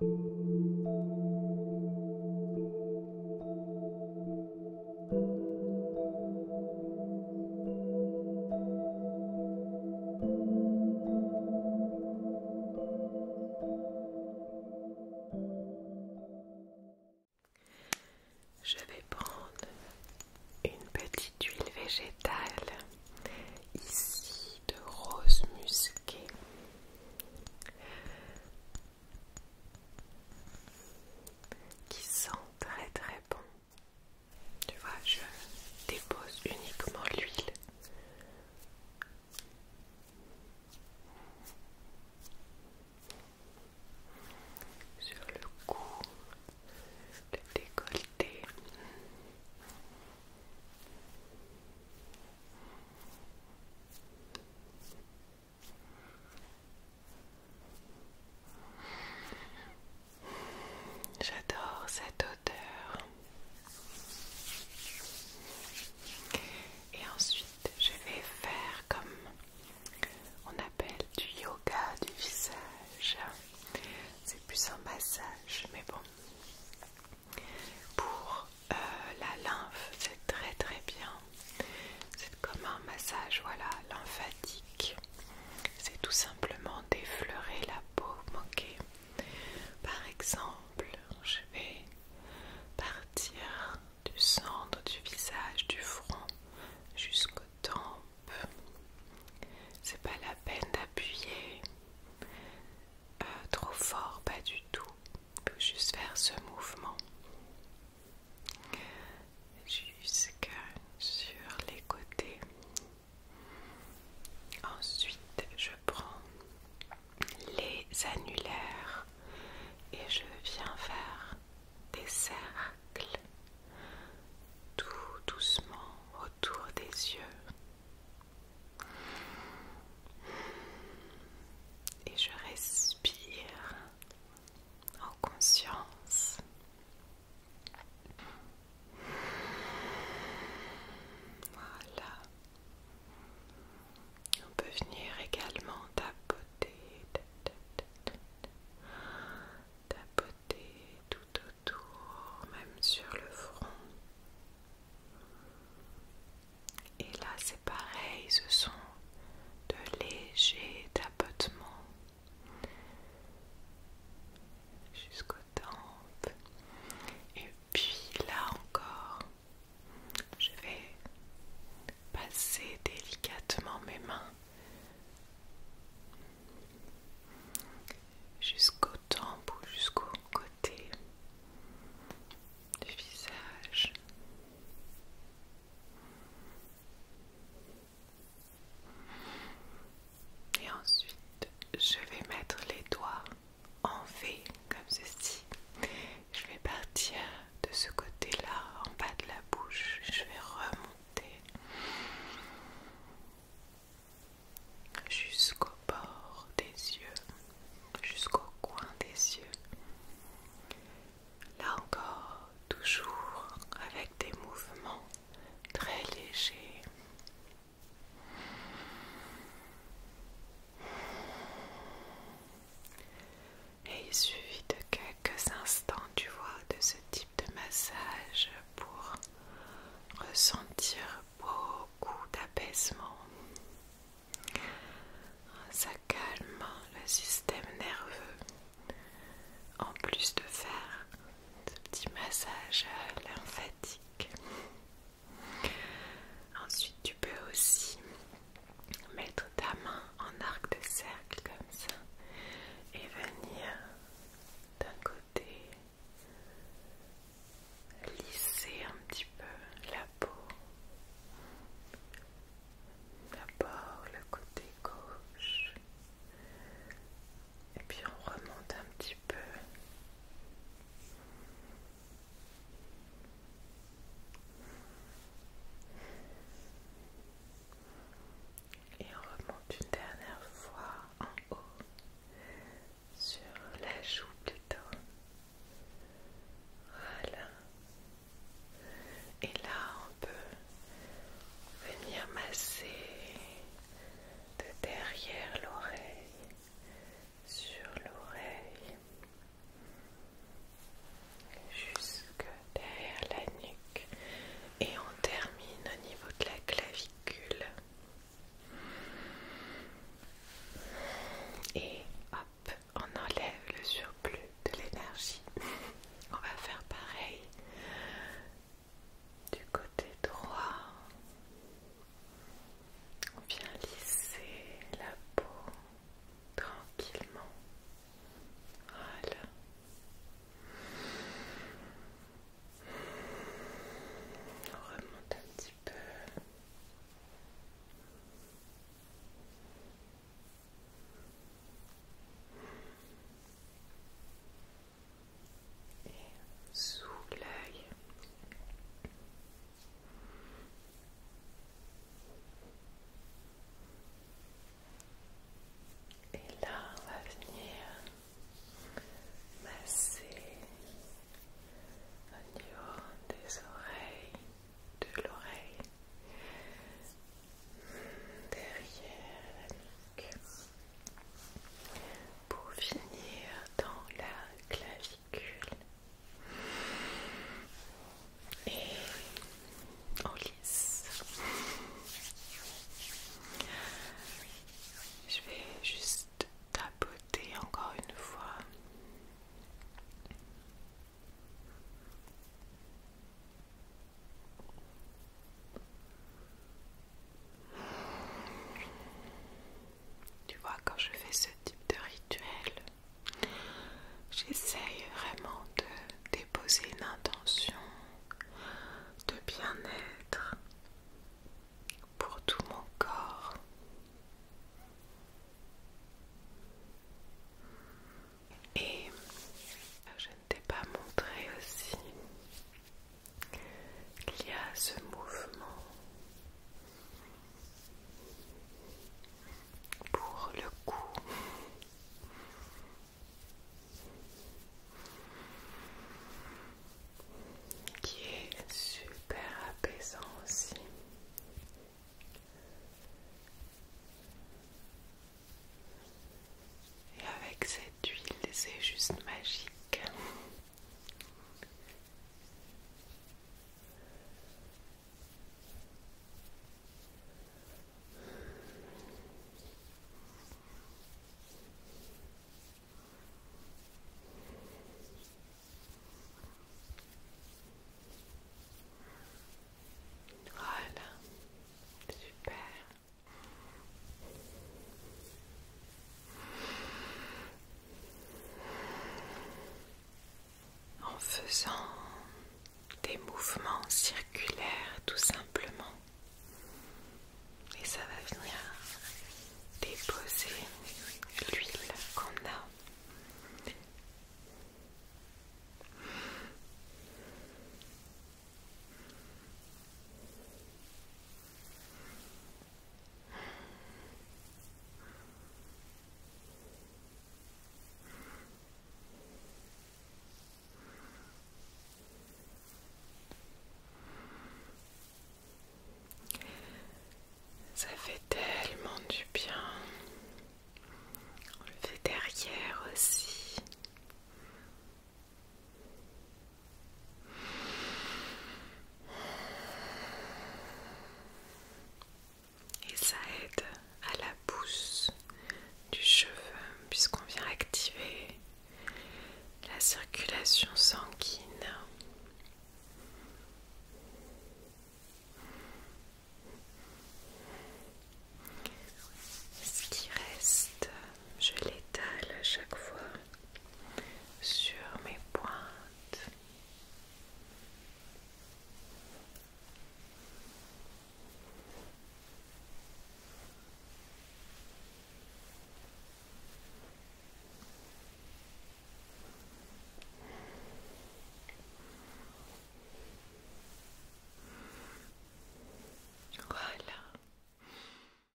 Je vais prendre une petite huile végétale ici de rose musquée qui sent très très bon. Tu vois, je dépose uniquement l'huile. Sur le cou, le décolleté, J'adore cette odeur. Et ensuite, je vais faire comme on appelle du yoga du visage. C'est plus un massage, mais bon, pour euh, la lymphe, c'est très très bien. C'est comme un massage, voilà, lymphatique. C'est tout simplement d'effleurer la peau ok Par exemple, je vais partir du centre du visage, du front jusqu'aux tempes. C'est pas la peine d'appuyer, euh, trop fort, pas du tout. il juste faire ce mouvement jusqu'à sur les côtés. Ensuite, je prends les annulaires et je viens faire des cercles tout doucement tour des yeux. Et je respire en conscience. Voilà. On peut venir également tapoter tapoter tout autour, même sur le front. Et là, c'est pareil, ce sont de légers tapotements jusqu'aux tempes. Et puis là encore, je vais passer délicatement mes mains Jusqu'au temple, jusqu'au côté du visage. Et ensuite, je vais mettre les doigts en V comme ceci. Je vais partir de ce côté-là en bas de la bouche. Je vais remonter jusqu'au bord des yeux, jusqu'au coin des yeux. Là encore, toujours avec des mouvements très légers. Et il suffit de quelques instants, tu vois, de ce type de massage pour ressentir beaucoup d'apaisement. Ça calme le système nerveux. En plus de faire ce petit massage lymphatique. Ensuite, tu peux aussi mettre ta main en arc de cercle comme ça et venir d'un côté lisser un petit peu la peau. D'abord le côté gauche et puis on remonte un petit peu et on remonte une dernière fois en haut sur la joue plutôt. Voilà. Et là, on peut venir masser de derrière l'oreille sur l'oreille jusque derrière la nuque et on termine au niveau de la clavicule et hop on enlève le surplus de l'énergie on va faire pareil du côté droit on vient lisser la peau tranquillement. Voilà. On remonte un petit peu. Et sous l'œil. Et là, on va venir masser au niveau des oreilles, de l'oreille, mm, derrière la nuque, pour finir dans la clavier et lisse. Je vais juste tapoter encore une fois. Tu vois, quand je fais ce type de rituel, J'essaye vraiment de déposer une intention de bien-être pour tout mon corps. Et je ne t'ai pas montré aussi qu'il y a ce mouvement pour le coup Qui est super apaisant aussi. Et avec cette huile, c'est juste magique. Voilà, super en faisant des mouvements circulaires tout simplement et ça va venir déposer l'huile qu'on a ça fait tellement du bien. On le fait derrière aussi. Et ça aide à la pousse du cheveu puisqu'on vient activer la circulation sanguine. Ce qui reste, je l'étale à chaque fois sur mes pointes. Voilà.